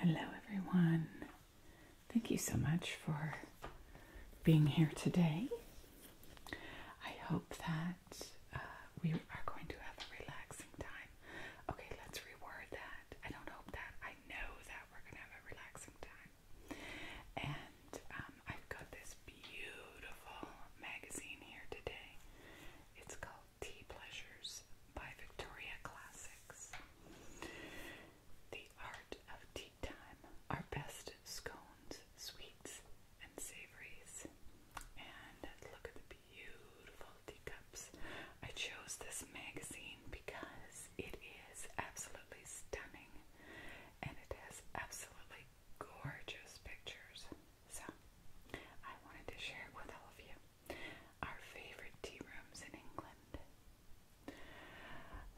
Hello, everyone. Thank you so much for being here today. I hope that uh, we are going to have a relaxing time. Okay, let's reword that. I don't hope that. I know that we're going to have a relaxing time. And um, I've got this beautiful magazine here today. It's called Tea Pleasures by Victoria Classics. The Art of Tea Time, our best scones, sweets, and savories. And look at the beautiful teacups. I chose this magazine because it is absolutely stunning and it has absolutely gorgeous pictures. So I wanted to share it with all of you our favorite tea rooms in England.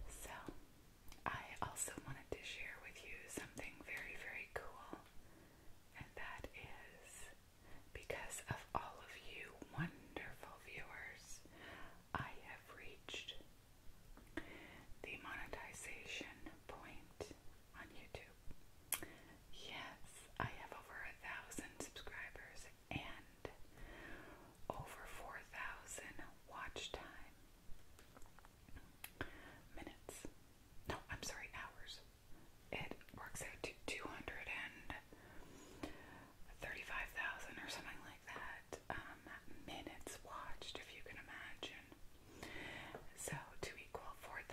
So, I also wanted to share with you something very, very cool, and that is because of all of you wonderful viewers, I have reached the monetization point on YouTube. Yes, I have over a thousand subscribers and over 4,000 watch time minutes. No, I'm sorry, hours. It works out to 235,000 or something like that um, minutes watched, if you can imagine. So, to equal 4,000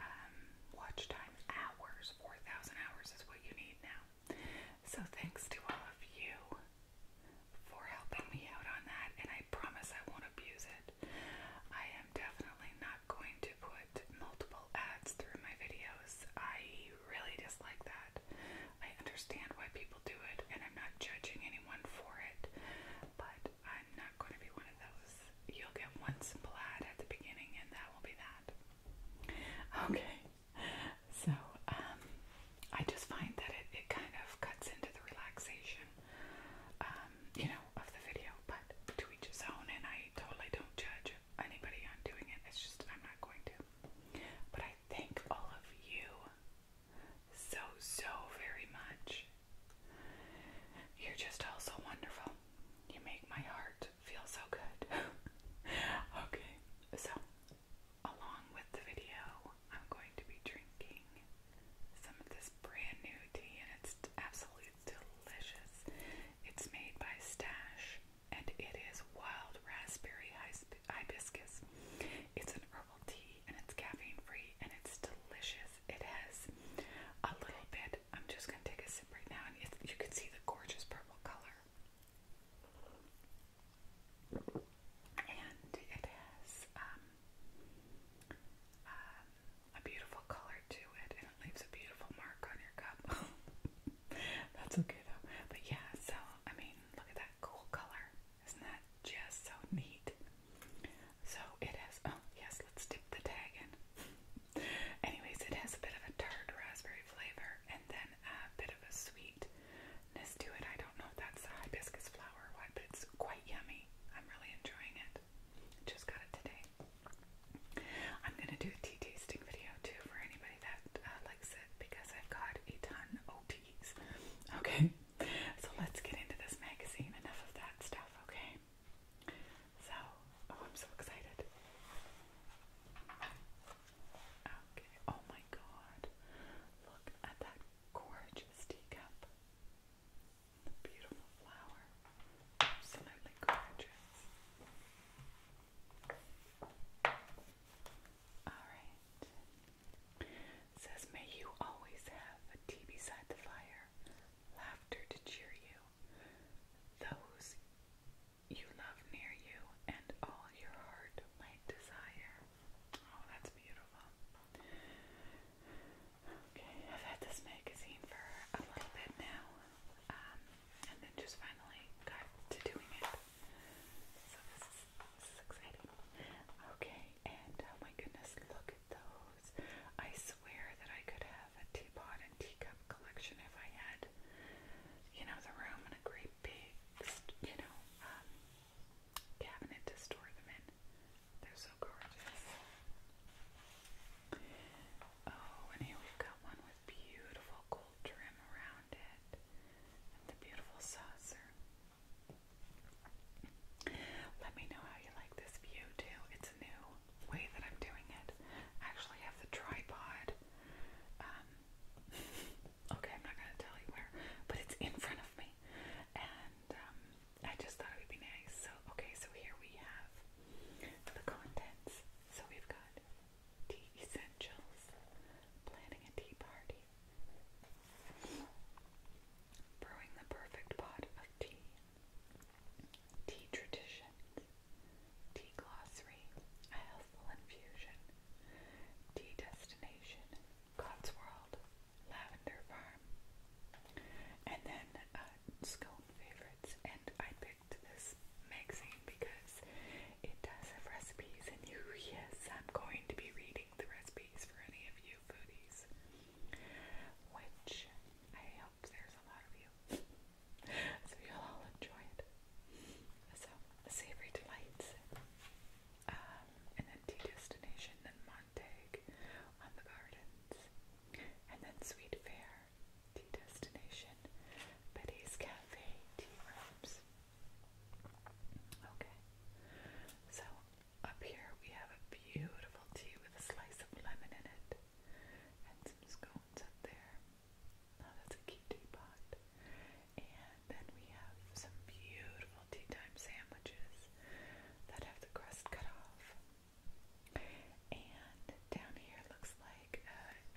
um, watch time hours, 4,000 hours is what you need now. So thanks to all of you for helping me out on that, and I promise I won't abuse it. I am definitely not going to put multiple ads through my videos. I really dislike that. I understand why people do it, and I'm not judging anyone for it, but I'm not going to be one of those. You'll get one simple ad at the beginning, and that will be that. Okay, so um, I just find that it, it kind of cuts into the relaxation, um, you know, of the video. But to each his own, and I totally don't judge anybody on doing it. It's just I'm not going to. But I thank all of you so so very much. You're just all so wonderful. You make my heart feels so good. okay, so along with the video, I'm going to be drinking some of this brand new tea, and it's absolutely delicious. It's made by Stash, and it is wild raspberry hibiscus. It's an herbal tea, and it's caffeine free, and it's delicious. It has a little bit. I'm just gonna take a sip right now, and you can see the gorgeous purple color and it has um, um, a beautiful color to it, and it leaves a beautiful mark on your cup. That's okay though. But yeah, so I mean, look at that cool color. Isn't that just so neat? So it has. Oh yes, let's dip the tag in. Anyways, it has a bit of a tart raspberry flavor, and then a bit of a sweetness to it. I don't know if that's a hibiscus flower or what, but it's quite yummy. I'm really enjoying it. Just got it today. I'm gonna do a tea tasting video too for anybody that uh, likes it because I've got a ton of teas. Okay, so let's get into this magazine. Enough of that stuff, okay? So, oh, I'm so excited. Okay, oh my god. Look at that gorgeous teacup. beautiful flower. Absolutely gorgeous. Alright. Says, may you always have a tea beside the fire, laughter to cheer you, those you love near you and all your heart might desire. Oh, that's beautiful. Okay, I've had this magazine for a little bit now, um, and then just finally got to doing it. So this is exciting. Okay, and oh my goodness, look at those. I swear that I could have a teapot and teacup collection if I had, you know, the room great big, you know, um, cabinet to store them in. They're so gorgeous. Oh, and here we've got one with beautiful gold trim around it, and the beautiful saucer. Let me know how you like this view too. It's a new way that I'm doing it. I actually have the tripod um, Okay, I'm not gonna tell you where, but it's in front of me, and um, I just thought it would be nice. So, okay, so here we have the contents. So we've got tea essentials, planning a tea party, brewing the perfect pot of tea, tea traditions, Tea Glossary, A Healthful Infusion, Tea Destination, God's World, Lavender Farm, and then uh, Scone Favorites. And I picked this magazine because it does recipes, and yes, I'm going to be reading the recipes for any of you foodies, which I hope there's a lot of you so you'll all enjoy it. So, Savory Delights um, an empty destination, then Montag on the Gardens, and then Sweet Fair, Tea Destination, Betty's Cafe, Tea Rooms. Okay, so up here we have a beautiful tea with a slice of lemon in it, and some scones up there, that's a cute And then we have some beautiful tea time sandwiches that have the crust cut off. And down here looks like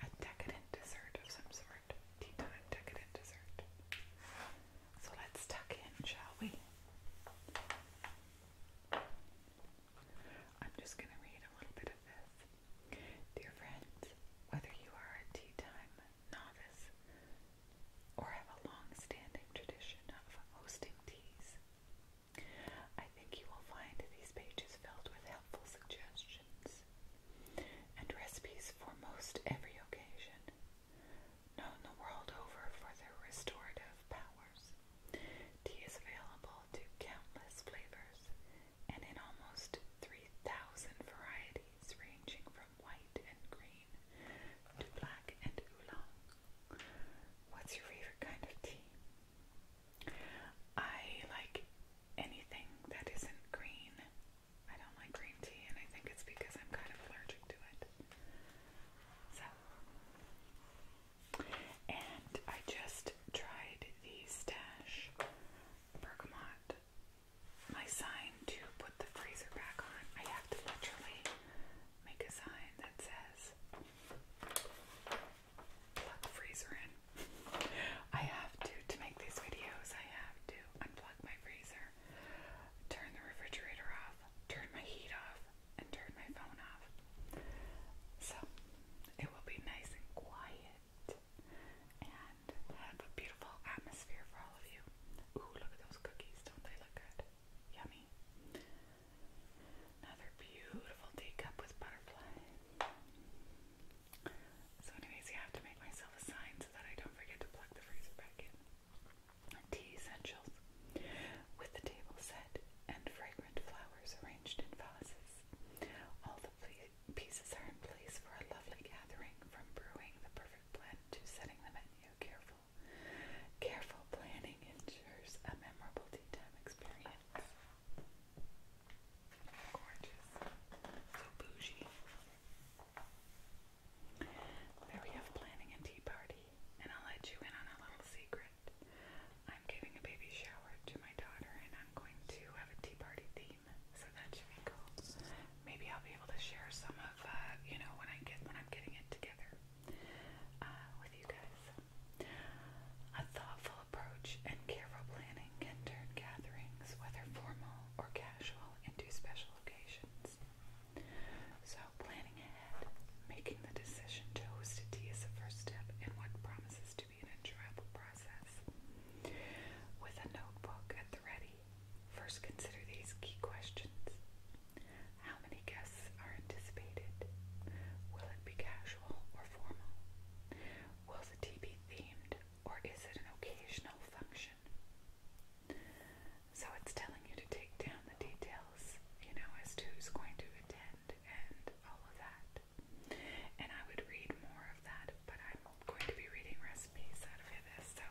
a decadent dessert of some sort. Tea time decadent dessert. So let's tuck in, shall we? I'm just going to read a little bit of this. Dear friends, whether you are a tea time novice or have a long standing tradition of hosting teas, I think you will find these pages filled with helpful suggestions and recipes for most every occasion, known the world over for their restorative powers. Tea is available to countless flavors and in almost 3,000 varieties ranging from white and green to black and oolong. What's your favorite kind of tea? I like anything that isn't green. I don't like green tea, and I think it's because I'm kind of allergic to it. So, and I just tried the stash bergamot my sign to put the freezer back on, I have to literally make a sign that says plug freezer in. I have to, to make these videos, I have to unplug my freezer, turn the refrigerator off, turn my heat off, and turn my phone off. So it will be nice and quiet and have a beautiful atmosphere for all of you. Ooh, look at those cookies. Don't they look good? Yummy. Another beautiful teacup with butterfly. So anyways, I have to make myself a sign so that I don't forget to plug the freezer back in. Tea essentials. With the table set and fragrant flowers arranged in vases. All the Pieces are in place for a lovely gathering, from brewing the perfect blend to setting the menu. Careful, careful planning ensures a memorable tea time experience. Gorgeous, so bougie. There we have planning and tea party, and I'll let you in on a little secret. I'm giving a baby shower to my daughter, and I'm going to have a tea party theme, so that should be cool. Maybe I'll be able to share some of uh, you know when I get when I'm getting it together uh, with you guys. A thoughtful approach and careful planning can turn gatherings, whether formal or casual, into special occasions. So planning ahead, making the decision to host a tea is the first step in what promises to be an enjoyable process. With a notebook at the ready, first consider these key questions. How many guests are anticipated? Will it be casual or formal? Will the tea be themed or is it an occasional function? So it's telling you to take down the details, you know, as to who's going to attend and all of that. And I would read more of that but I'm going to be reading recipes out of this, so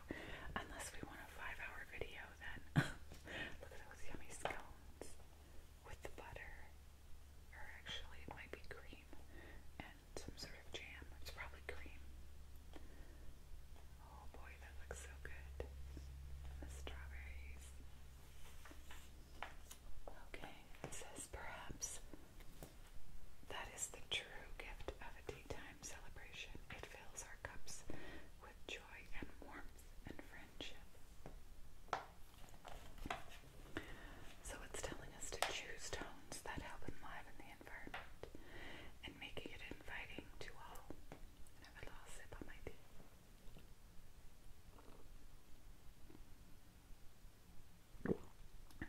unless we want a five hour video, then look at those yummy scones with the butter, or actually, it might be cream and some sort of jam. It's probably cream. Oh boy, that looks so good. And the strawberries. Okay, says perhaps that is the true gift of a daytime celebration. It fills our cups with joy and warmth and friendship. So it's telling us to choose tones that help enliven the environment and making it inviting to all. have a little sip on my tea.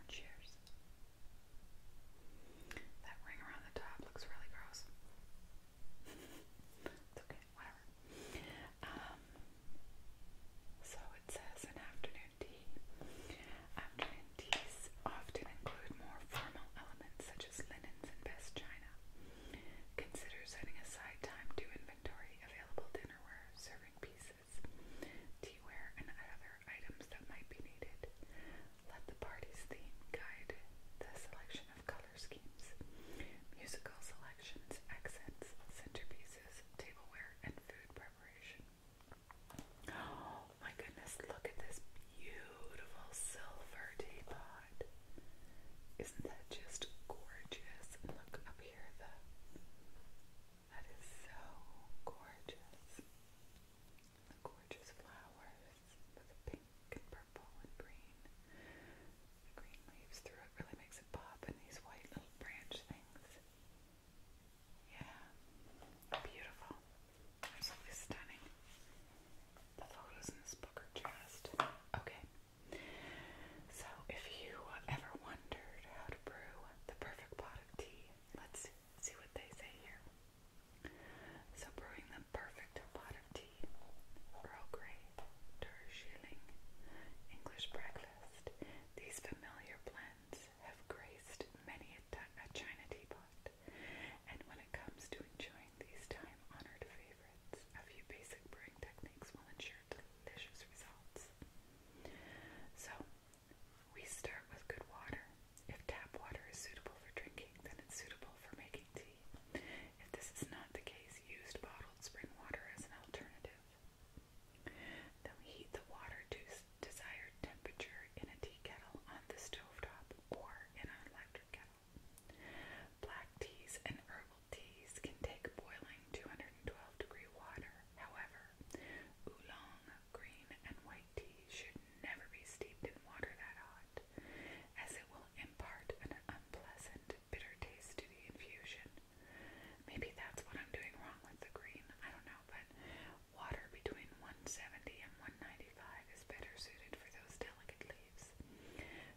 Cheers. That ring around the top looks really gross. it's okay, whatever. Um, so it says an afternoon tea. Afternoon teas often include more formal elements such as linens and best china. Consider setting aside time to inventory available dinnerware, serving pieces, vases, teaware, and other items that might be needed. Let the party's theme guide the selection of color schemes, musical selections, accents, centerpieces, tableware, and food preparation. Oh my goodness, look at this beautiful silver teapot. Isn't that just gorgeous? look up here, the that is so gorgeous. The gorgeous flowers with the pink and purple and green. The green leaves through really makes it pop and these white little branch things. Yeah. Beautiful. Absolutely stunning. The photos in this book are just okay. So if you ever wondered how to brew the perfect pot of tea, let's see what they say here. So brewing the perfect pot of tea, Earl Grey, Ter English breakfast. These familiar blends have graced many a, a china teapot, and when it comes to enjoying these time-honored favorites, a few basic brewing techniques will ensure delicious results. So we start with good water. If tap water is suitable for drinking, then it's suitable for making tea. If this is not the case, use bottled spring water as an alternative. Then we heat the water to desired temperature in a tea kettle on the stovetop or in an electric kettle. Black teas and herbal teas can take boiling 212 degree water. However, oolong, green, and white tea should never be steeped in water that hot, as it will impart an unpleasant, bitter taste to the infusion. Maybe that's what I'm doing wrong with the green, I don't know, but water between 170 and 195 is better suited for those delicate leaves.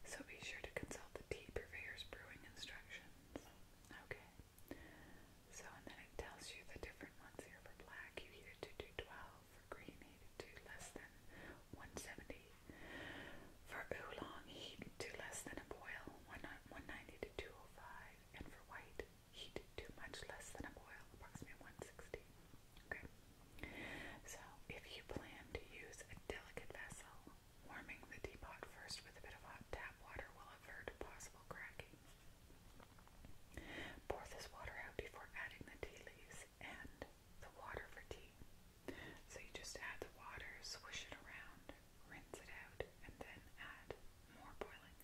So be sure to consult the tea purveyor's brewing instructions. Okay. So, and then it tells you the different ones here for black, you heat it to 212, for green, heat it to less than 170, for oolong, heat it to less than a boil, 190 to 205, and for white, heat it to much less than a boil, approximately 160. Okay, so if you plan to use a delicate vessel, warming the teapot first with a bit of hot tap water will avert possible cracking. Pour this water out before adding the tea leaves and the water for tea. So you just add the water, swish it around, rinse it out, and then add more boiling.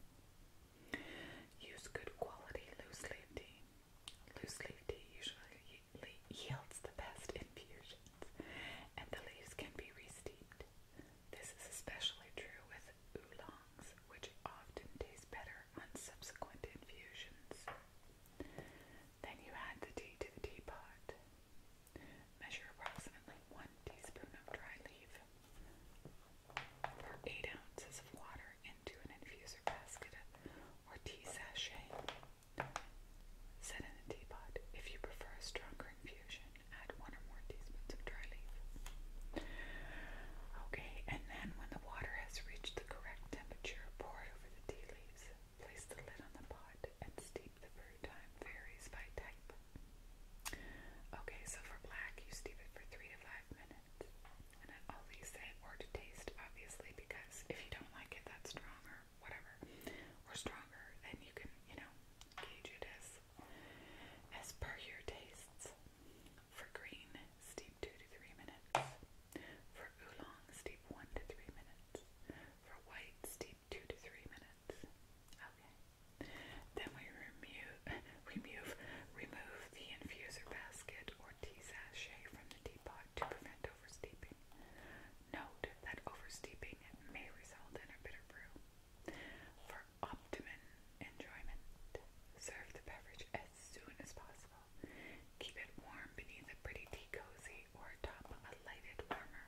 Use good quality loose leaf tea. Loose leaf tea usually yields the best infusions, and the leaves can be re steeped. This is especially true with oolongs, which often tastes better on subsequent infusions. Then you add the tea to the teapot. Measure approximately one teaspoon of dry leaf for eight ounces of water into an infuser basket or tea sachet. Set in a teapot. If you prefer a stronger infusion, add 1 one or more teaspoons of dry leaf. Okay, and then when the water has reached the correct temperature, pour it over the tea leaves. Place the lid on the pot and steep. The brew time varies by type. Okay, so for black, you steep it for three to five minutes. And all these say or to taste, obviously, because if you don't like it that strong or whatever, or stronger, then you can, you know, gauge it as as per your tastes. For green, steep 2 to 3 minutes. For oolong, steep 1 to 3 minutes. For white, steep 2 to 3 minutes. Okay. Then we remove, remove, remove the infuser basket or tea sachet from the teapot to prevent oversteeping. Note that oversteeping may result in a bitter brew. For optimum enjoyment. Serve the beverage as soon as possible. Keep it warm beneath a pretty tea cozy or atop a lighted warmer.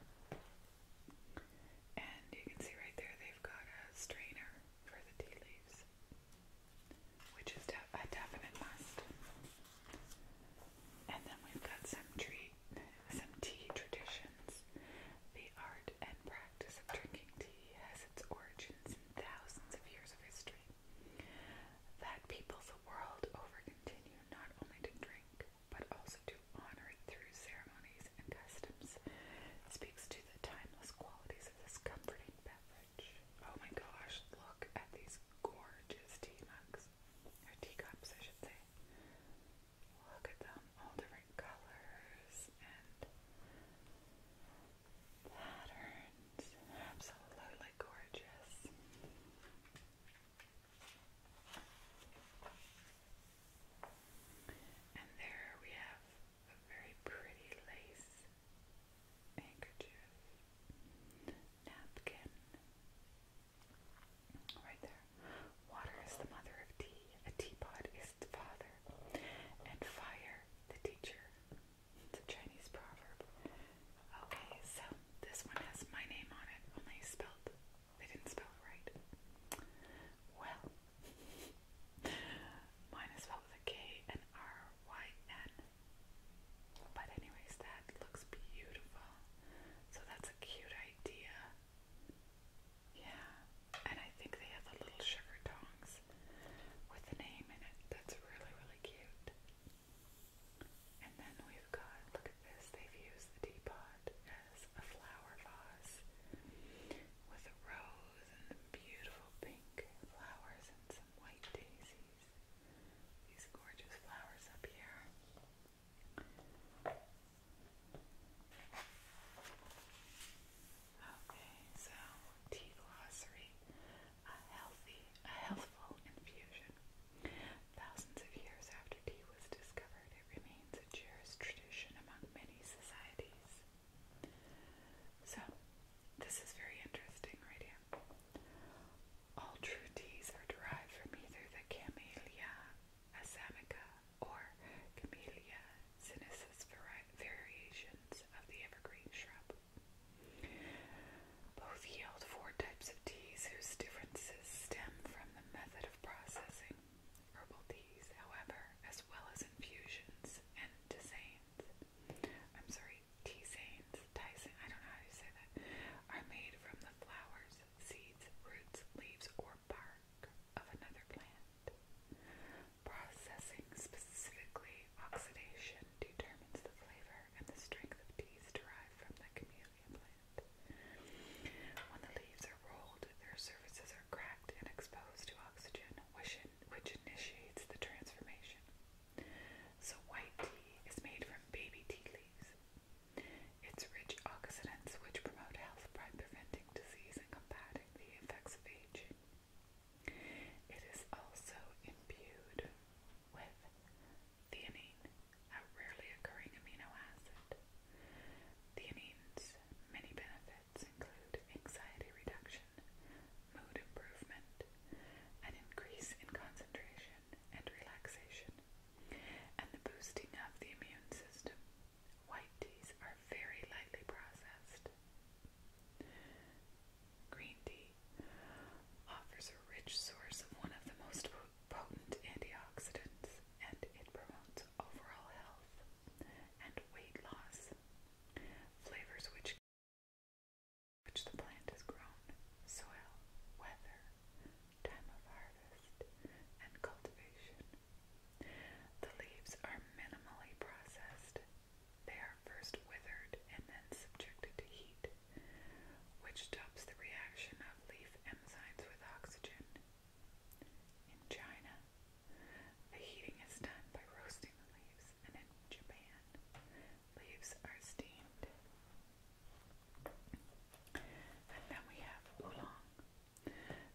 And you can see right there they've got a strainer for the tea leaves, which is a definite must. And then we've got some treat, some tea traditions. The art and practice of drinking tea has its origins in thousands of years of history, that people the world over continue not only to drink, but also to honor it through ceremonies and customs, speaks to the timeless qualities of this comforting beverage. Oh my gosh, look at these gorgeous tea mugs, or teacups, I should say. Look at them, all different colors and patterns. Absolutely gorgeous. And there we have a very pretty lace handkerchief, napkin, right there. Water is the mother of tea. A teapot is Christ the Father, and fire the teacher. It's a Chinese proverb. Okay, so this one has my name on it, only spelled, they didn't spell it right. Well, mine is spelled with a K and R Y N. But, anyways, that looks beautiful. So, that's a cute idea. Yeah and I think they have the little sugar tongs with the name in it. That's really, really cute. And then we've got, look at this, they've used the teapot as a flower vase with a rose and beautiful pink flowers and some white daisies. These gorgeous flowers up here. Okay, so tea glossary, a healthy, a healthful infusion. Thousands of years after tea was discovered, it remains a cherished tradition among many societies. So, this is very interesting right here. All true teas are derived from either the Camellia assamica or Camellia Sinissus variations of the evergreen shrub. Both yield four types of teas whose differences stem from the method of processing. Herbal teas, however, as well as infusions and tisanes, I'm sorry, tisanes, tisane, I don't know how to say that, are made from the flowers, seeds, roots, leaves, or bark of another plant. Processing, specifically oxidation, determines the flavor and the strength of teas derived from the camellia plant. When the leaves are rolled, their surfaces are cracked and exposed to oxygen, which, which initiates the transformation. So, white tea is made from baby tea leaves. Its rich oxidants, which promote health by preventing disease and combating the effects of aging, it is also imbued with theanine, a rarely occurring amino acid. Theanine's many benefits include anxiety reduction, mood improvement, an increase in concentration and relaxation, and the boosting of the immune system. White teas are very lightly processed. Green tea offers a rich source of one of the most potent antioxidants, and it promotes overall health and weight loss. Flavors which which the plant has grown, soil, weather, time of harvest, and cultivation. The leaves are minimally processed they are first withered and then subjected to heat, which stops the reaction of leaf enzymes with oxygen. In China, the heating is done by roasting the leaves, and in Japan, leaves are steamed. And then we have oolong,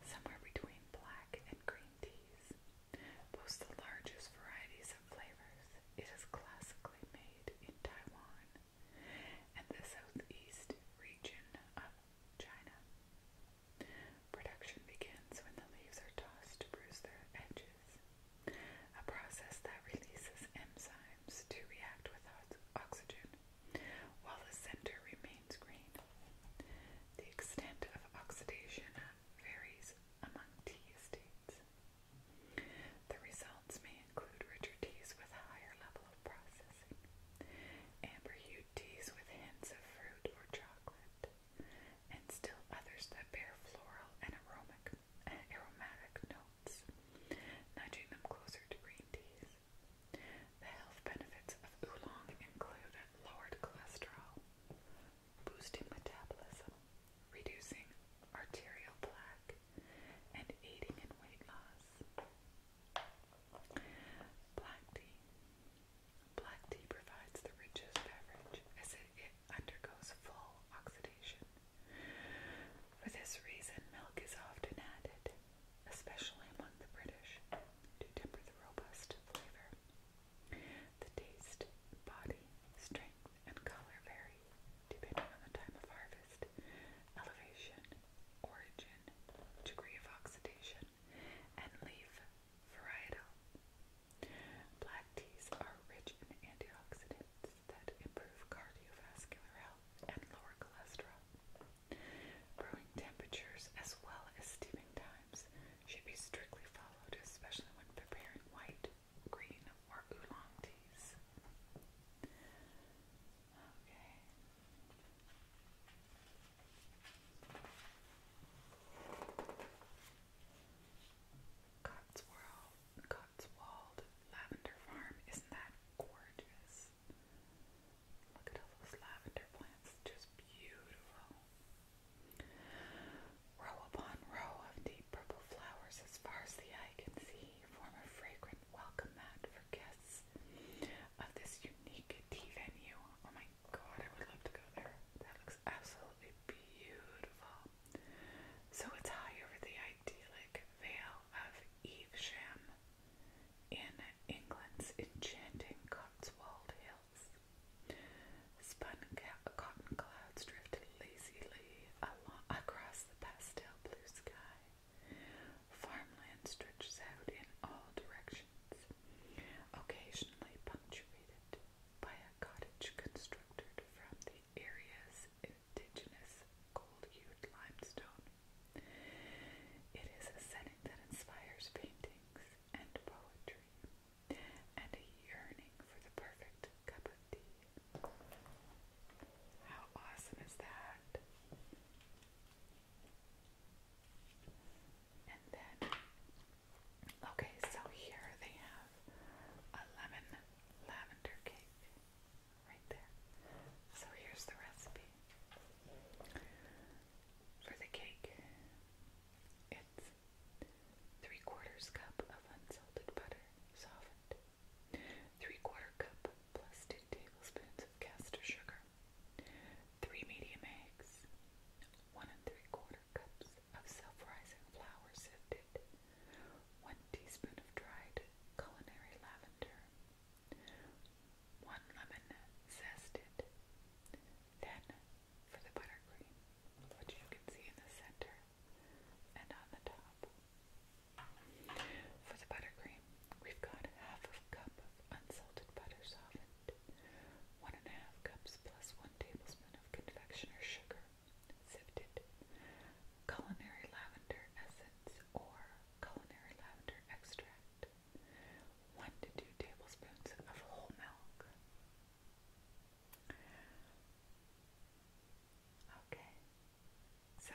somewhere between black and green teas boasts the largest varieties of flavors. It is classically made in Taiwan and the southeast region of China. Production begins when the leaves are tossed to bruise their edges, a process that releases enzymes to react with oxygen while the center remains green. The extent of oxidation varies among tea estates. The results may include richer teas with a higher level of processing, amber hued teas with hints of fruit or chocolate, and still others that bear floral and aromatic, eh, aromatic notes, nudging them closer to green teas. The health benefits of oolong include lowered cholesterol, boosting metabolism, reducing arterial plaque, and aiding in weight loss. Black tea. Black tea provides the richest beverage as it, undergoes full oxidation. For this reason, milk is often added, especially among the British, to temper the robust flavor. The taste, body, strength, and color vary depending on the time of harvest, elevation, origin, degree of oxidation, and leaf variety. Black teas are rich in antioxidants that improve cardiovascular health and lower cholesterol. Brewing temperatures as well as steeping times should be strictly followed, especially when preparing white, green, or oolong teas. Okay. Cotswold, Cotswold Lavender Farm, isn't that gorgeous? Look at all those lavender plants, just beautiful. Row upon row of deep purple flowers, as far as the eye can see, form a fragrant welcome mat for guests of this unique tea venue. Oh my god, I would love to go there. That looks absolutely beautiful. So it's high over the idyllic vale of Evesham in England's enchanting Cotswold Hills. Spun cotton clouds drifted lazily across the pastel blue sky. Farmland stretches out in all directions, occasionally punctuated by a cottage constructed from the area's indigenous gold-hued limestone. It is a setting that inspires paintings and poetry and a yearning for the perfect cup of tea. How awesome is that? And then, okay, so here they have a lemon lavender cake right there. So here's the recipe for the cake. It's three quarters cup of unsalted butter, softened, three quarter cup plus two tablespoons of caster sugar, three medium eggs, one and three quarter cups of self-rising flour sifted, one teaspoon of dried culinary lavender, one lemon zested. Then for the buttercream, which you can see in the center and on the top. For the buttercream, we've got half a cup of unsalted butter softened, one and a half cups plus one tablespoon of confectioner's sugar, sifted, culinary lavender essence or culinary lavender extract, one to two tablespoons of whole milk. Okay, so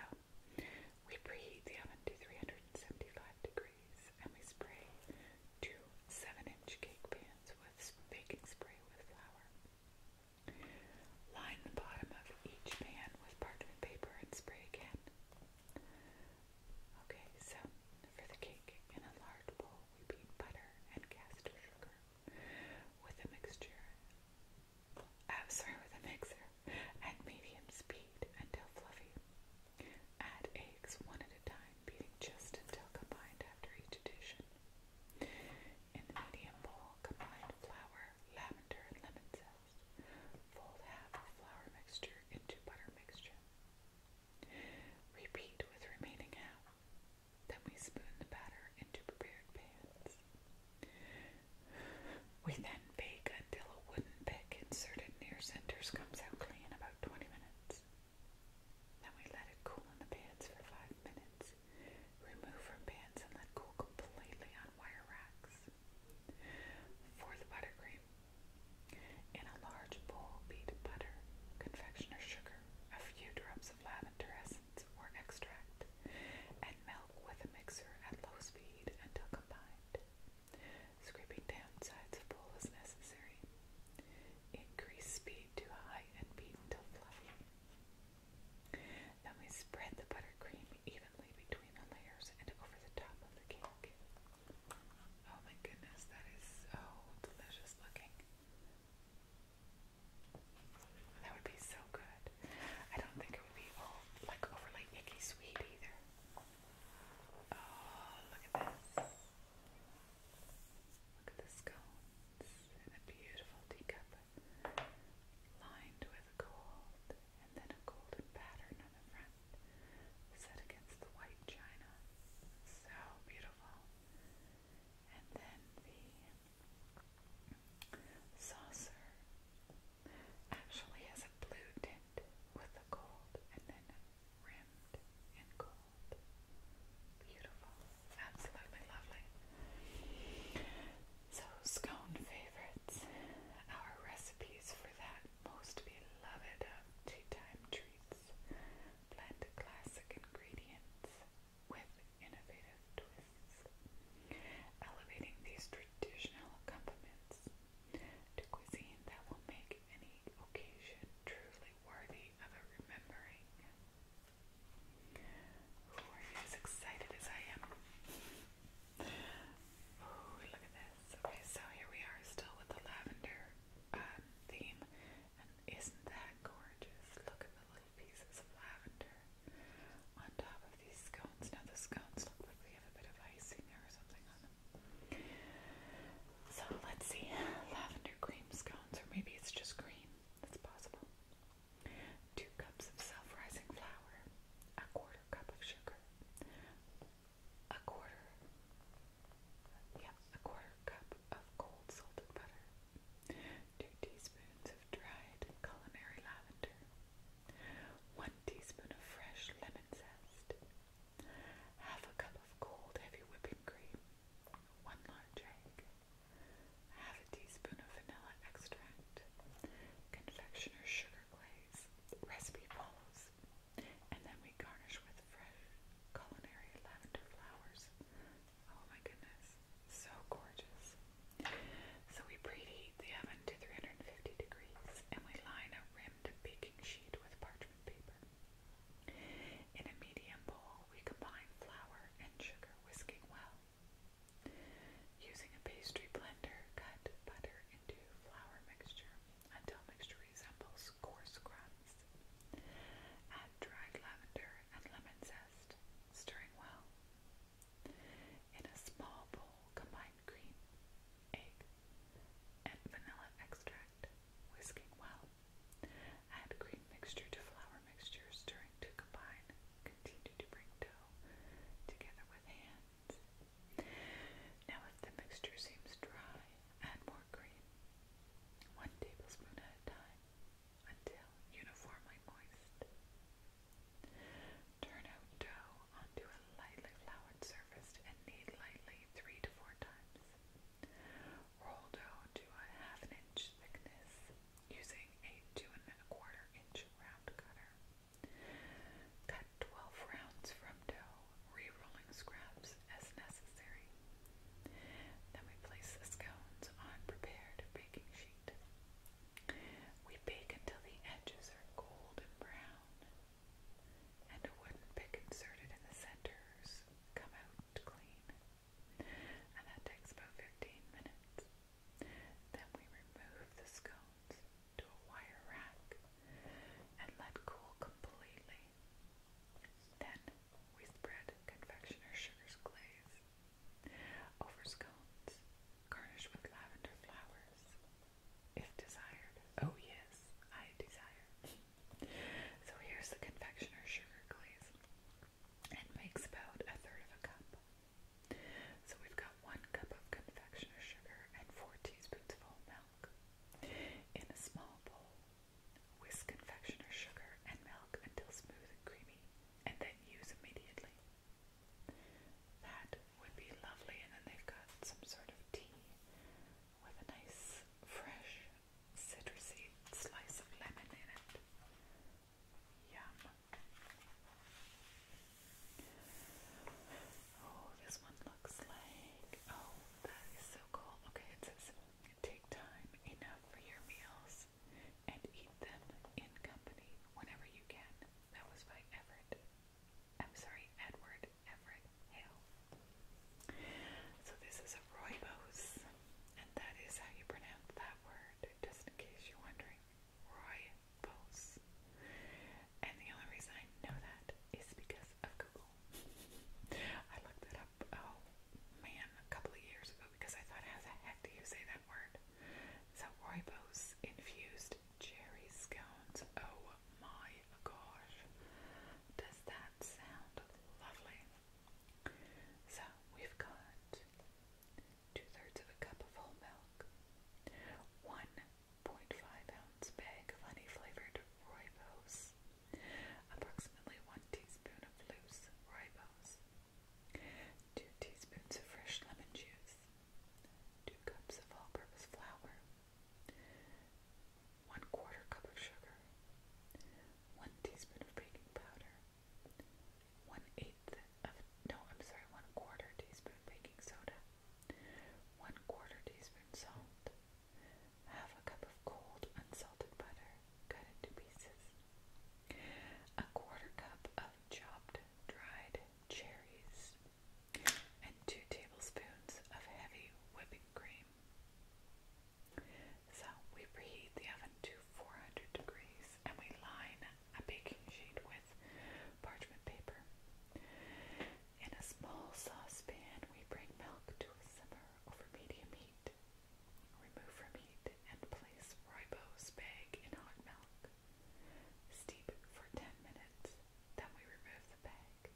we preheat the oven to 375 degrees and we spray two 7 inch cake pans with baking spray with flour. Line the bottom of each pan with parchment paper and spray again. Okay, so for the cake in a large bowl, we beat butter and caster sugar with a mixture, sorry, with a mixer at medium speed until fluffy. Add eggs one at a time, beating just until combined after each addition. In the medium bowl, combine flour, lavender, and lemon zest. Fold half of flour mixture into butter mixture. Repeat with remaining half. Then we spoon the batter into prepared pans. We then bake until a wooden pick inserted near centers comes out clean about 20 minutes. Then we let it cool in the pans for 5 minutes. Remove from pans and let cool completely on wire racks. For the buttercream, in a large bowl beat butter, confectioner's sugar, a few drops lavender essence or extract, and milk with a mixer at low speed until combined. Scraping down sides of bowl is necessary. Increase speed to high and beat until fluffy. Then we spread the buttercream evenly between the layers and over the top of the cake. Oh my goodness, that is so delicious looking. That would be so good. I don't think it would be all like overly icky sweet either. Oh, look at this. Look at the scones in a beautiful teacup lined with gold and then a golden pattern on the front set against the white china. So beautiful and then the saucer actually has a blue tint with a gold and then rimmed in gold. Beautiful. Absolutely lovely. So scone favorites. Our recipes for that most beloved of tea time treats. Blend classic ingredients with innovative twists, elevating these traditional accompaniments to cuisine that will make any occasion truly worthy of a remembering. Ooh, are you as excited as I am? Ooh, look at this. Okay, so here we are still with the lavender uh, theme. isn't that gorgeous? Look at the pieces of lavender on top of these scones. Now the scones look like they have a bit of icing there or something on them. So let's see, lavender cream scones, or maybe it's just cream. That's possible. Two cups of self-rising flour, a quarter cup of sugar, a quarter, yeah, a quarter cup of cold salted butter, 2 teaspoons of dried culinary lavender, 1 teaspoon of fresh lemon zest, half a cup of cold heavy whipping cream, 1 large egg, half a teaspoon of vanilla extract, confectioner's sugar glaze. Recipe follows. And then we garnish with fresh culinary lavender flowers. Oh my goodness. So gorgeous. So we preheat the oven to 350 degrees and we line a rimmed baking sheet with parchment paper. In a medium bowl, we combine flour and sugar, whisking well. Using a pastry blender, cut butter into flour mixture until mixture resembles coarse crumbs. Add dried lavender and lemon zest stirring well. In a small bowl, combine cream, egg, and vanilla extract, whisking well. Add cream mixture to flour mixture, stirring to combine. Continue to bring dough together with hands. Now, if the mixture seems dry, add more cream, one tablespoon at a time until uniformly moist. Turn out dough onto a lightly floured surface and knead lightly three to four times. Roll dough to a half an inch thickness using a two and a quarter inch round cutter. Cut 12 rounds from dough, re scraps as necessary. Then we place the scones on prepared baking sheet. We bake until the edges are golden brown, and a wooden pick inserted in the centers come out clean. And that takes about 15 minutes. Then we remove the scones to a wire rack and let cool completely. Then we spread confectioner's sugar's glaze over scones, with lavender flowers. If desired. Oh, yes, I desire. so here's the confectioner's sugar glaze. It makes about a third of a cup. So we've got one cup of confectioner's sugar and four teaspoons of whole milk. In a small bowl, whisk confectioner's sugar and milk until smooth and creamy and then use immediately. That would be lovely, and then they've got some sort of tea with a nice, fresh, citrusy slice of lemon in it. Yum. Oh, this one looks like. Oh, that is so cool. Okay, it says take time enough for your meals nuts and eat them in company whenever you can. That was by Everett. I'm sorry, Edward Everett Hale. So this is a rooibos, and that is how you pronounce that word, just in case you're wondering. Rooibos. And the only reason I know that is because of Google. I looked it up, oh, man a couple of years ago because I thought, how the heck do you say that word? So ribose infused cherry scones. Oh my gosh, does that sound lovely? So we've got two thirds of a cup of whole milk, one 0.5 ounce bag of honey flavored ribose, approximately one teaspoon of loose ribose, 2 teaspoons of fresh lemon juice, 2 cups of all purpose flour, 1 quarter cup of sugar, 1 teaspoon of baking powder, 1 eighth of, no, I'm sorry, 1 quarter teaspoon baking soda, 1 quarter teaspoon salt, half a cup of cold unsalted butter cut into pieces, a quarter cup of chopped dried cherries, and two tablespoons of heavy whipping cream. So we preheat the oven to 400 degrees and we line a baking sheet with parchment paper. In a small saucepan, we bring milk to a simmer over medium heat. Remove from heat and place ribose bag in hot milk. Steep for 10 minutes, then we remove the bag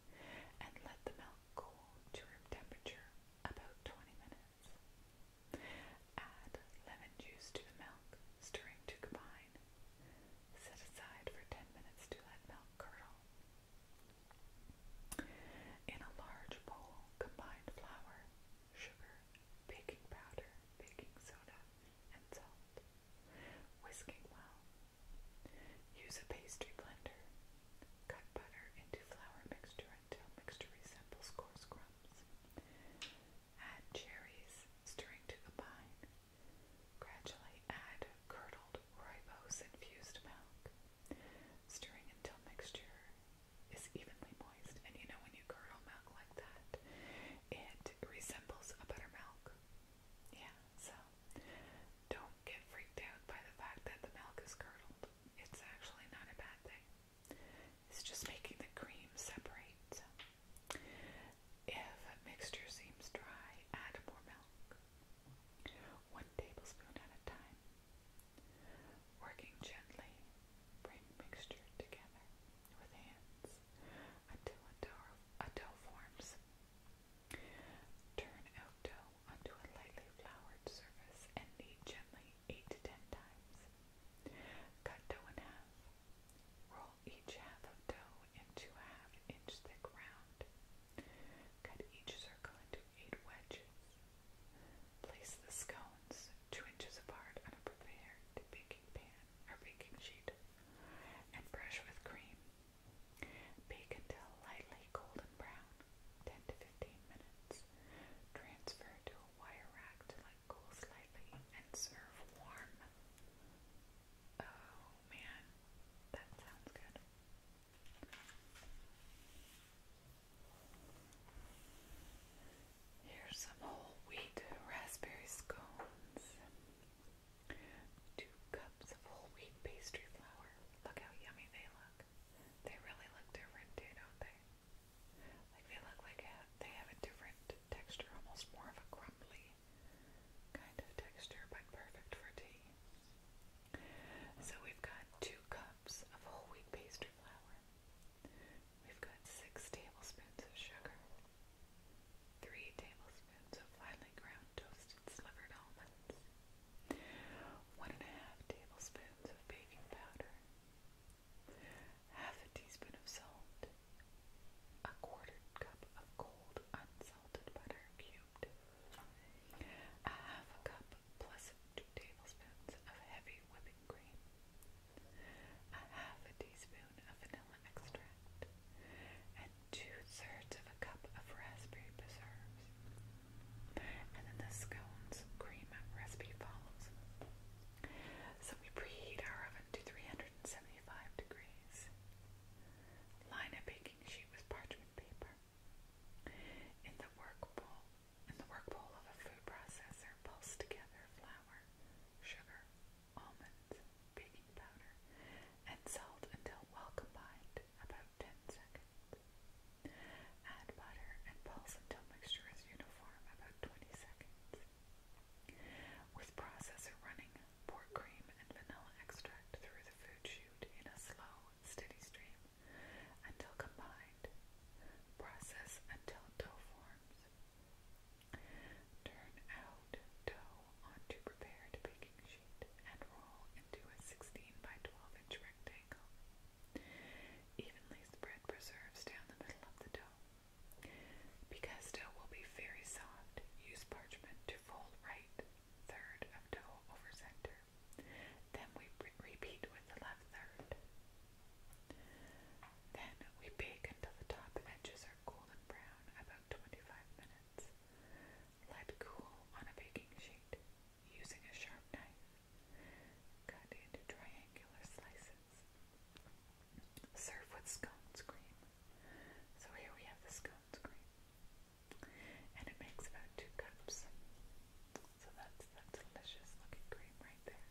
and let the milk cool to room temperature about 20 minutes. Add lemon juice to the milk, stirring to combine. Set aside for 10 minutes to let milk curdle. In a large bowl, combine flour, sugar, baking powder, baking soda, and salt. Whisking well. Use a pastry blender. Cut butter into flour mixture until mixture resembles coarse crumbs. Add cherries, stirring to combine. Gradually add curdled rooibos infused milk, stirring until mixture is evenly moist. And you know when you curdle milk like that, it resembles a buttermilk. Yeah, so don't get freaked out by the fact that the milk is curdled. It's actually not a bad thing. It's just making the cream separate. So if a mixture seems dry, add more milk. One tablespoon at a time. Working gently, bring mixture together with hands until a dough, a dough forms. Turn out dough onto a lightly floured surface and knead gently 8 to 10 times. Cut dough in half. Roll each half of dough into a half inch thick round. Cut each circle into 8 wedges. Place the scones two inches apart on a prepared baking pan or baking sheet, and brush with cream. Bake until lightly golden brown, 10 to 15 minutes. Transfer to a wire rack to let cool slightly and serve warm. Oh man, that sounds good. Here's some whole wheat raspberry scones. Two cups of whole wheat pastry flour. Look how yummy they look. They really look different too, don't they? Like they look like a, they have a different texture, almost more of a crumbly kind of texture, but perfect for tea. So we've got two cups of whole wheat pastry flour. We've got six tablespoons of sugar, three tablespoons of finely ground toasted slivered almonds, one and a half tablespoons of baking powder, half a teaspoon of salt, a quarter cup of cold unsalted butter cubed, a half a cup plus two tablespoons of heavy whipping cream, a half a teaspoon of vanilla extract, and two thirds of a cup of raspberry preserves. And then the scones cream recipe follows. So we preheat our oven to 375 degrees. Line a baking sheet with parchment paper. In the work bowl, in the work bowl of a food processor, pulse together flour, sugar, almonds, baking powder, and salt until well combined, about 10 seconds. Add butter and pulse until mixture is uniform, about 20 seconds. With processor running, pour cream and vanilla extract through the food chute in a slow, steady stream until combined. Process until dough forms arms. Turn out dough onto prepared baking sheet and roll into a 16 by 12 inch rectangle. Evenly spread preserves down the middle of the dough. Because dough will be very soft, use parchment to fold right third of dough over center. Then we repeat with the left third. Then we bake until the top edges are golden brown, about 25 minutes. Let cool on a baking sheet using a sharp knife. Cut into triangular slices. Serve with scones cream. So here we have the scones cream. And it makes about two cups. So that's that delicious looking cream right there.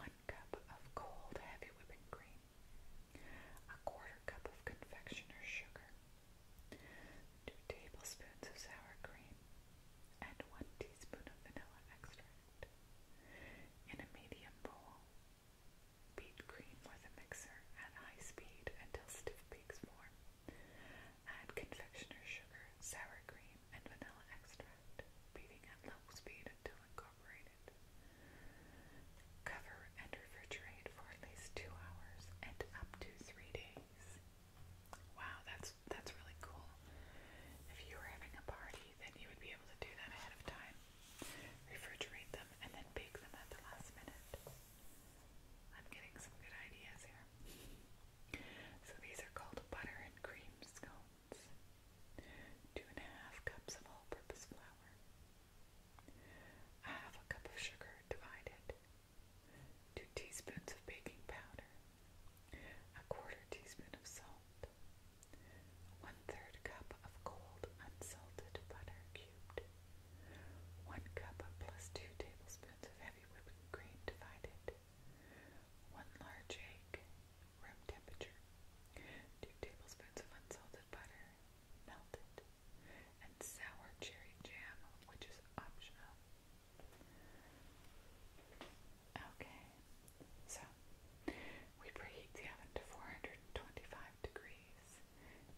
One cup of cold heavy whipping cream. A quarter cup of confectioner's sugar. Two tablespoons of sour cream. And one teaspoon of vanilla extract. In a medium bowl, beat cream with a mixer at high speed until stiff peaks form. Add confectioner's sugar, sour cream, and vanilla extract object, at low speed until incorporated. Cover and refrigerate for at least two hours and up to three days. Wow, that's that's really cool. If you were having a party, then you would be able to do that ahead of time. Refrigerate them and then bake them at the last minute. I'm getting some good ideas here. So these are called butter and cream scones ounce, two and a half cups of all-purpose flour, half a cup of sugar divided, two teaspoons of baking powder, a quarter teaspoon of salt, one-third cup of cold unsalted butter cubed, one cup plus two tablespoons of heavy whipping cream divided, 1 large egg, room temperature, 2 tablespoons of unsalted butter, melted, and sour cherry jam, which is optional. Okay, so we preheat the oven to 425 degrees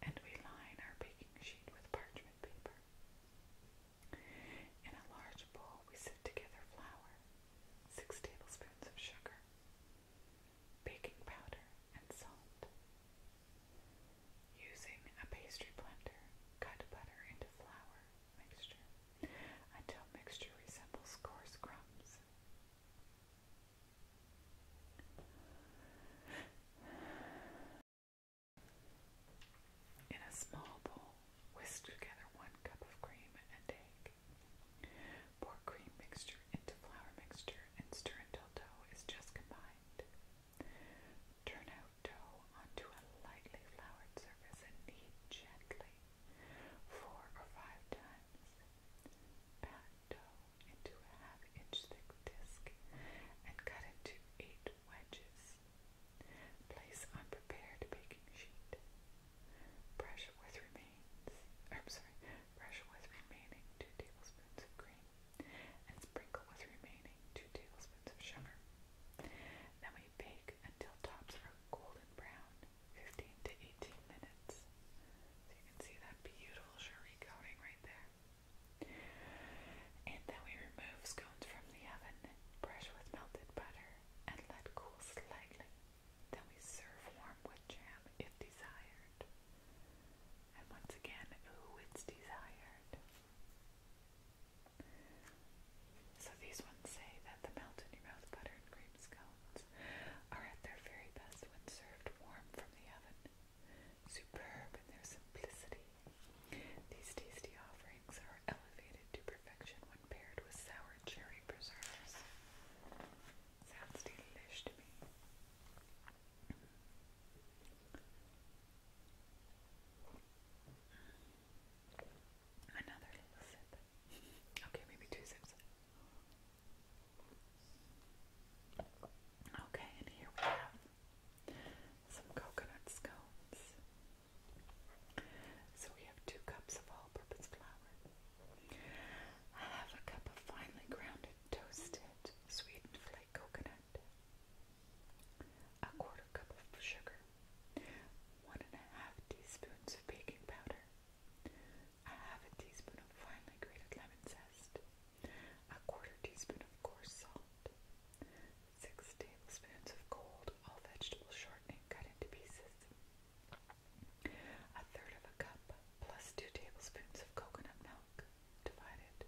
and we line our baking sheet with parchment paper. In a large bowl, we together flour, 6 tablespoons of sugar, baking powder, and salt. Using a pastry blender, cut butter into flour mixture until mixture resembles coarse crumbs. In a small bowl, Whisk together one cup of cream and egg. Pour cream mixture into flour mixture and stir until dough is just combined. Turn out dough onto a lightly floured surface and knead gently four or five times. Pat dough into a half inch thick disc and cut into eight wedges. Place unprepared baking sheet. Brush with remains. Or, I'm sorry. Brush with remaining two tablespoons of cream, and sprinkle with remaining two tablespoons of sugar. Then we bake until tops are golden brown, 15 to 18 minutes. So you can see that beautiful sherry coating right there. And then we remove scones from the oven. Brush with melted butter and let cool slightly. Then we serve warm with jam if desired. And once again, ooh, it's desired. So these ones say that the melt-in-your-mouth butter and cream scones are at their very best when served warm from the oven. Superb in their simplicity. These tasty offerings drinks are elevated to perfection when paired with sour cherry preserves. Sounds delish to me. Another little sip. Okay, maybe two sips. Okay, and here we have some coconut scones. So we have two cups of all-purpose flour. I have a cup of finely grounded, toasted, sweetened flake coconut. A quarter cup of sugar. One and a half teaspoons of baking powder. A half a teaspoon of finely grated lemon zest. A quarter teaspoon of coarse salt. Six tablespoons of cold all vegetable shortening cut into pieces. A third of a cup plus two tablespoons of coconut milk divided.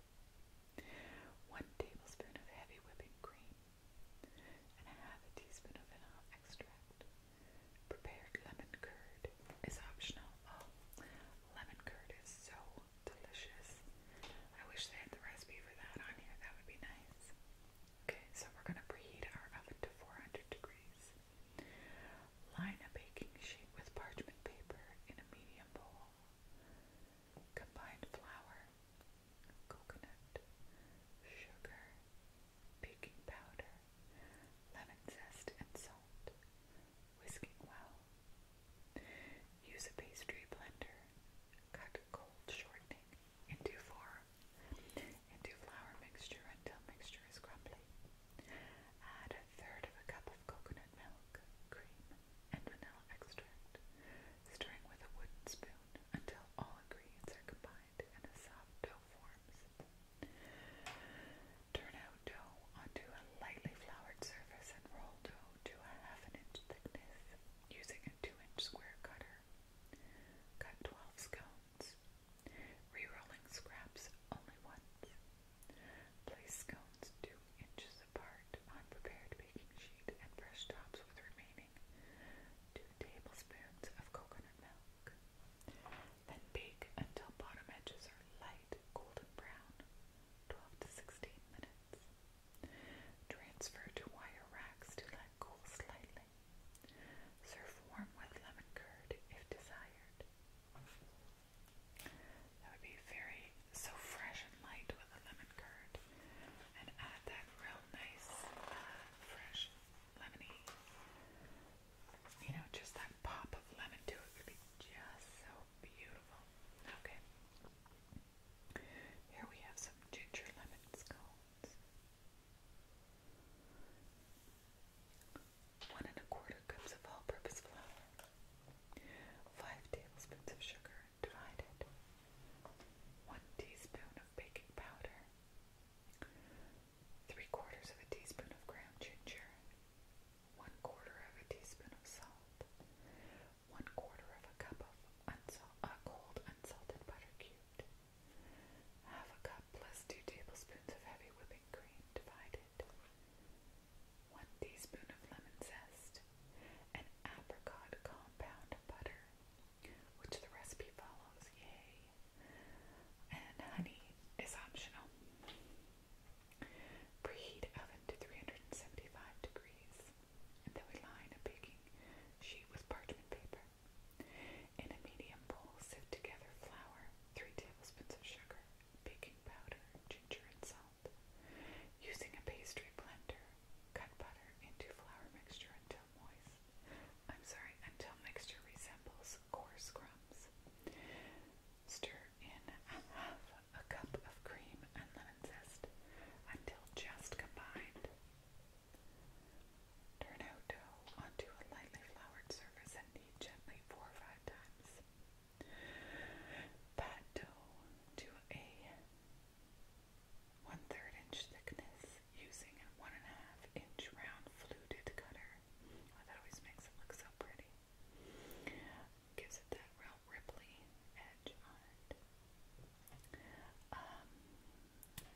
One tablespoon of heavy whipping cream and a half a teaspoon of vanilla extract. Prepared lemon curd is optional. Oh, lemon curd is so delicious. I wish they had the recipe for that on here. That would be nice. Okay, so we're going to preheat our oven to 400 degrees. Line a baking sheet with parchment paper in a medium bowl. Combine flour, coconut, sugar, baking powder, lemon zest, and salt. Whisking well. Use a pastry blender. Cut cold shortening into four, into flour mixture until mixture is crumbly. Add a third of a cup of coconut milk, cream, and vanilla extract, stirring with a wooden spoon until all ingredients are combined and a soft dough forms. Turn out dough onto a lightly floured surface and roll dough to a half an inch thickness using a two inch square cutter. Cut 12 scones Rerolling scraps only once. Place scones two inches apart on prepared baking sheet and brush tops with remaining two tablespoons of coconut milk. Then bake until bottom edges are light golden brown, 12 to 16 minutes. Transfer to wire racks to let cool slightly. Serve warm with lemon curd if desired. That would be very so fresh and light with the lemon curd, and add that real nice, uh, fresh lemony. You know, just that pop of lemon to it would be just so beautiful. Okay. Here we have some ginger lemon scones. One and a quarter cups of all-purpose flour, five tablespoons of sugar divided, one teaspoon of baking powder, three quarters of a teaspoon of ground ginger, one quarter of a teaspoon of salt, one quarter of a cup of unsalt, uh, cold unsalted butter cubed, Half a cup plus two tablespoons of heavy whipping cream divided. One teaspoon of lemon zest. An apricot compound butter, which the recipe follows. Yay! And honey is optional. Preheat oven to 375 degrees. And then we line a baking sheet with parchment paper. In a medium bowl, sift together flour, 3 tablespoons of sugar, baking powder, ginger, and salt. Using a pastry blender, cut butter into flour mixture until moist. I'm sorry, until mixture resembles coarse crumbs. Stir in half a cup of cream and lemon zest until just combined. Turn out dough onto a lightly floured surface and knead gently four or five times. Pat dough to a one-third inch thickness using a one-and-a-half inch round fluted cutter. Oh, that always makes it look so pretty. Gives it that real ripply edge on it. Um,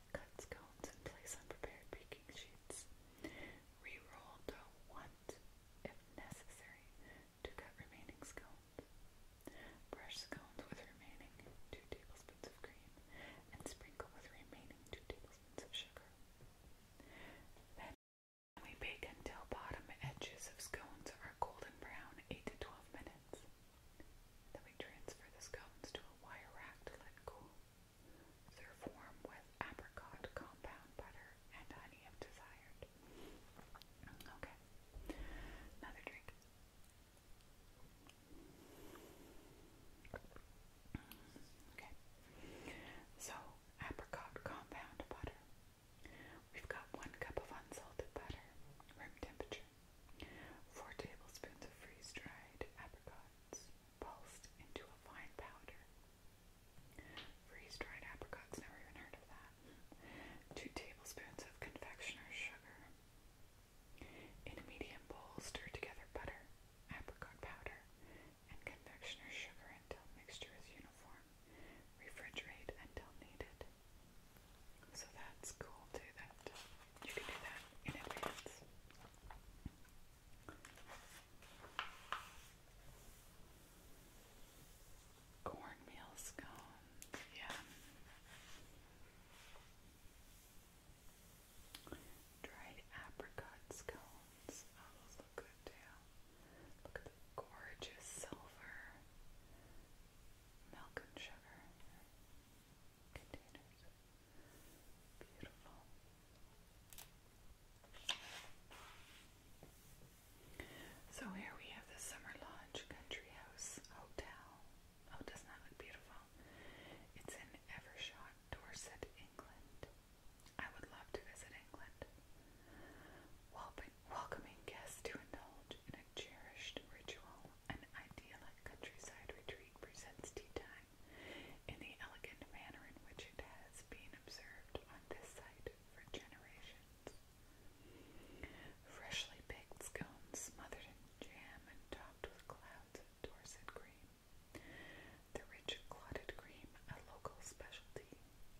Cut scones and place unprepared baking sheets. Reroll dough once, if necessary, to cut remaining scones. Brush scones with remaining 2 tablespoons of cream and sprinkle with remaining 2 tablespoons of sugar. Then we bake until bottom edges of scones are golden brown 8 to 12 minutes. Then we transfer the scones to a wire rack to let cool. Serve warm with apricot compound butter and honey if desired. Okay, another drink. Okay, so apricot compound butter. We've got one cup of unsalted butter, room temperature, four tablespoons of freeze dried apricots, pulsed into a fine powder. Freeze-dried apricots, never even heard of that. Two tablespoons of confectioner's sugar. In a medium bowl, stir together butter, apricot powder, and confectioner's sugar until mixture is uniform. Refrigerate until needed. So that's cool too, that you can do that in advance. Cornmeal scones, yeah. Dried apricot scones. Oh, those look good too. Look at the gorgeous silver milk and sugar containers. Beautiful. So here we have the Summer Lodge Country House Hotel. Oh, does that look beautiful? It's in Evershot, Dorset, England. I would love to visit England. Welcoming guests to indulge in a cherished ritual, an idyllic countryside retreat presents tea time in the elegant manner in which it has been observed on this site for generations. Freshly baked scones smothered in jam and topped with clouds of Dorset cream. The rich clotted cream, a local specialty,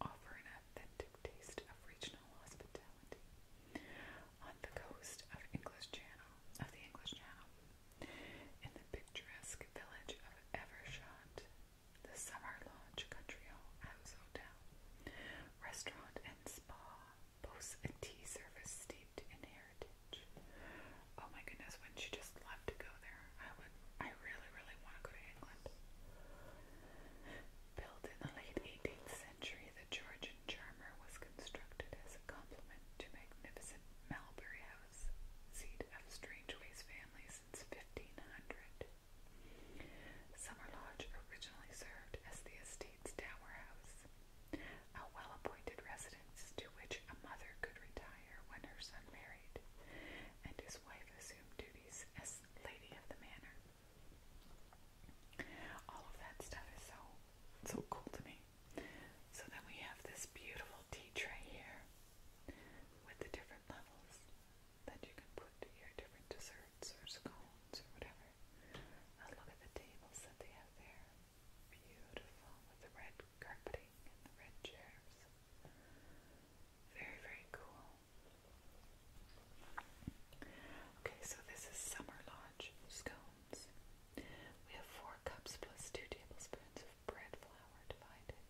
offer an authentic taste of regional hospitality. On the coast of English Channel, of the English Channel, in the picturesque village of Evershot, the Summer Lodge Country House Hotel, Restaurant and Spa boasts a tea service steeped in heritage. Oh my goodness, wouldn't you just love to go there? I would. I really, really want to go to England. Built in the late 18th century, the Georgian Charmer was constructed as a complement to magnificent Malbury House Oz, seat of Strangeways family since 1500. Summer Lodge originally served as the estate's tower house, a well-appointed residence to which a mother could retire when her son married, and his wife assumed duties as lady of the manor. All of that stuff is so so cool to me. So then we have this beautiful tea tray here with the different levels that you can put your different desserts or scones or whatever. Now look at the tables that they have there. Beautiful with the red carpeting and the red chairs. Very, very cool. Okay, so this is Summer Lodge Scone. We have four cups plus two tablespoons of bread flour divided,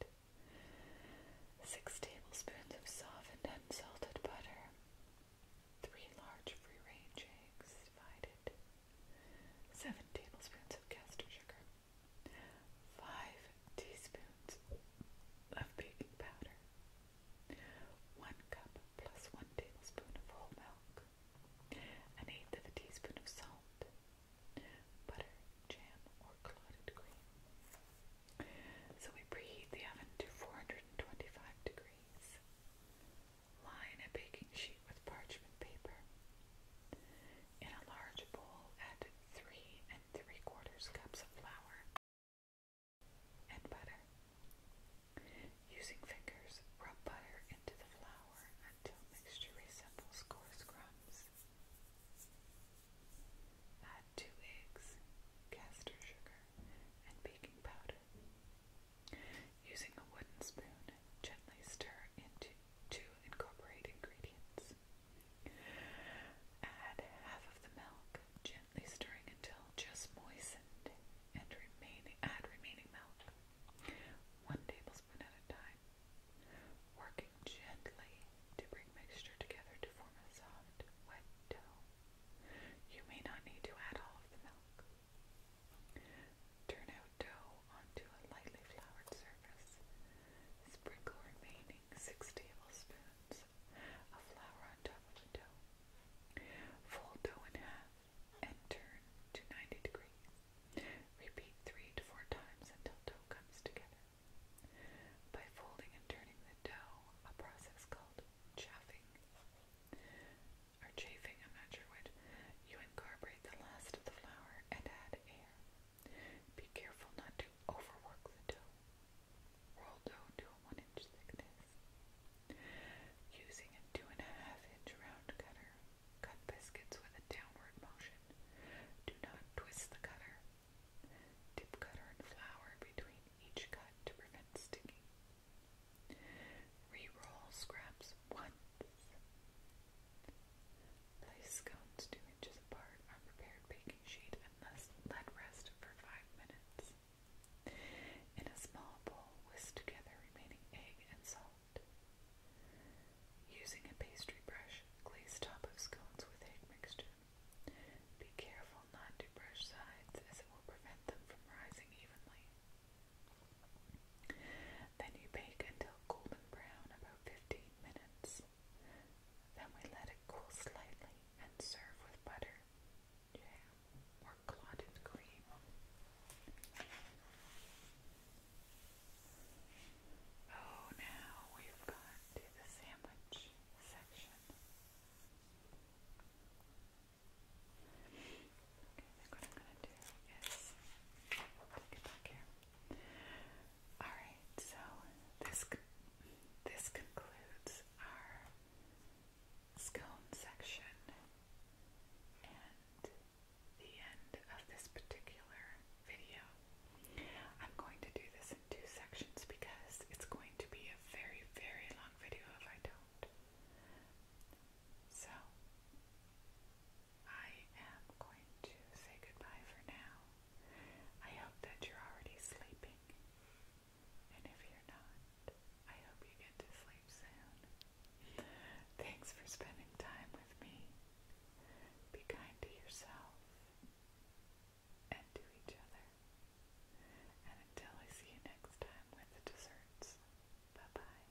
six tablespoons of softened unsalted butter, three large free-range eggs divided, seven tablespoons of caster sugar, five teaspoons of baking powder, one cup plus one tablespoon of whole milk, an eighth of a teaspoon of salt, butter, jam, or clotted cream. So we preheat the oven to 425 degrees. Line a baking sheet with parchment paper. In a large bowl, add three and three quarters cups of flour and butter. Using fingers, rub butter into the flour until mixture resembles coarse crumbs. Add two eggs, caster sugar, and baking powder. Using a wooden spoon, gently stir into two incorporate ingredients. Add half of the milk, gently stirring until just moistened and remaining add remaining milk. One tablespoon one at a time, working gently to bring mixture together to form a soft, wet dough. You may not need to add all of the milk. Turn out dough onto a lightly floured surface. Sprinkle remaining six tablespoons of flour on top of the dough. Fold dough in half and turn to 90 degrees. Repeat three to four times until dough comes together. By folding and turning the dough, a process called chaffing or chafing, I'm not sure which, you incorporate the last of the flour and add air. Be careful not to overwork the dough. Roll dough to a one inch thickness. Using a two and a half inch round cutter, Cut biscuits with a downward motion. Do not twist the cutter. Dip cutter in flour between each cut to prevent sticking. Re-roll scraps once. Place scones two inches apart on prepared baking sheet and let rest for five minutes. In a small bowl, whisk together remaining egg and salt. Using a pastry brush, glaze top of scones with egg mixture. Be careful not to brush sides as it will prevent them from rising evenly. Then you bake until golden brown about 15 minutes. Then we let it cool slightly and serve with butter, jam, or clotted cream. Oh, now we've gone to the sandwich section. Okay, what I'm gonna do is take it back here. Alright, so this this concludes our scone section and the end of this particular video. I'm going to do this in two sections because it's going to be a very, very long video if I don't. So, I am going to say goodbye for now. I hope that you're already sleeping. And if you're not, I hope you get to sleep soon. Thanks for spending time with me. Be kind to yourself and to each other. And until I see you next time with the desserts, bye bye.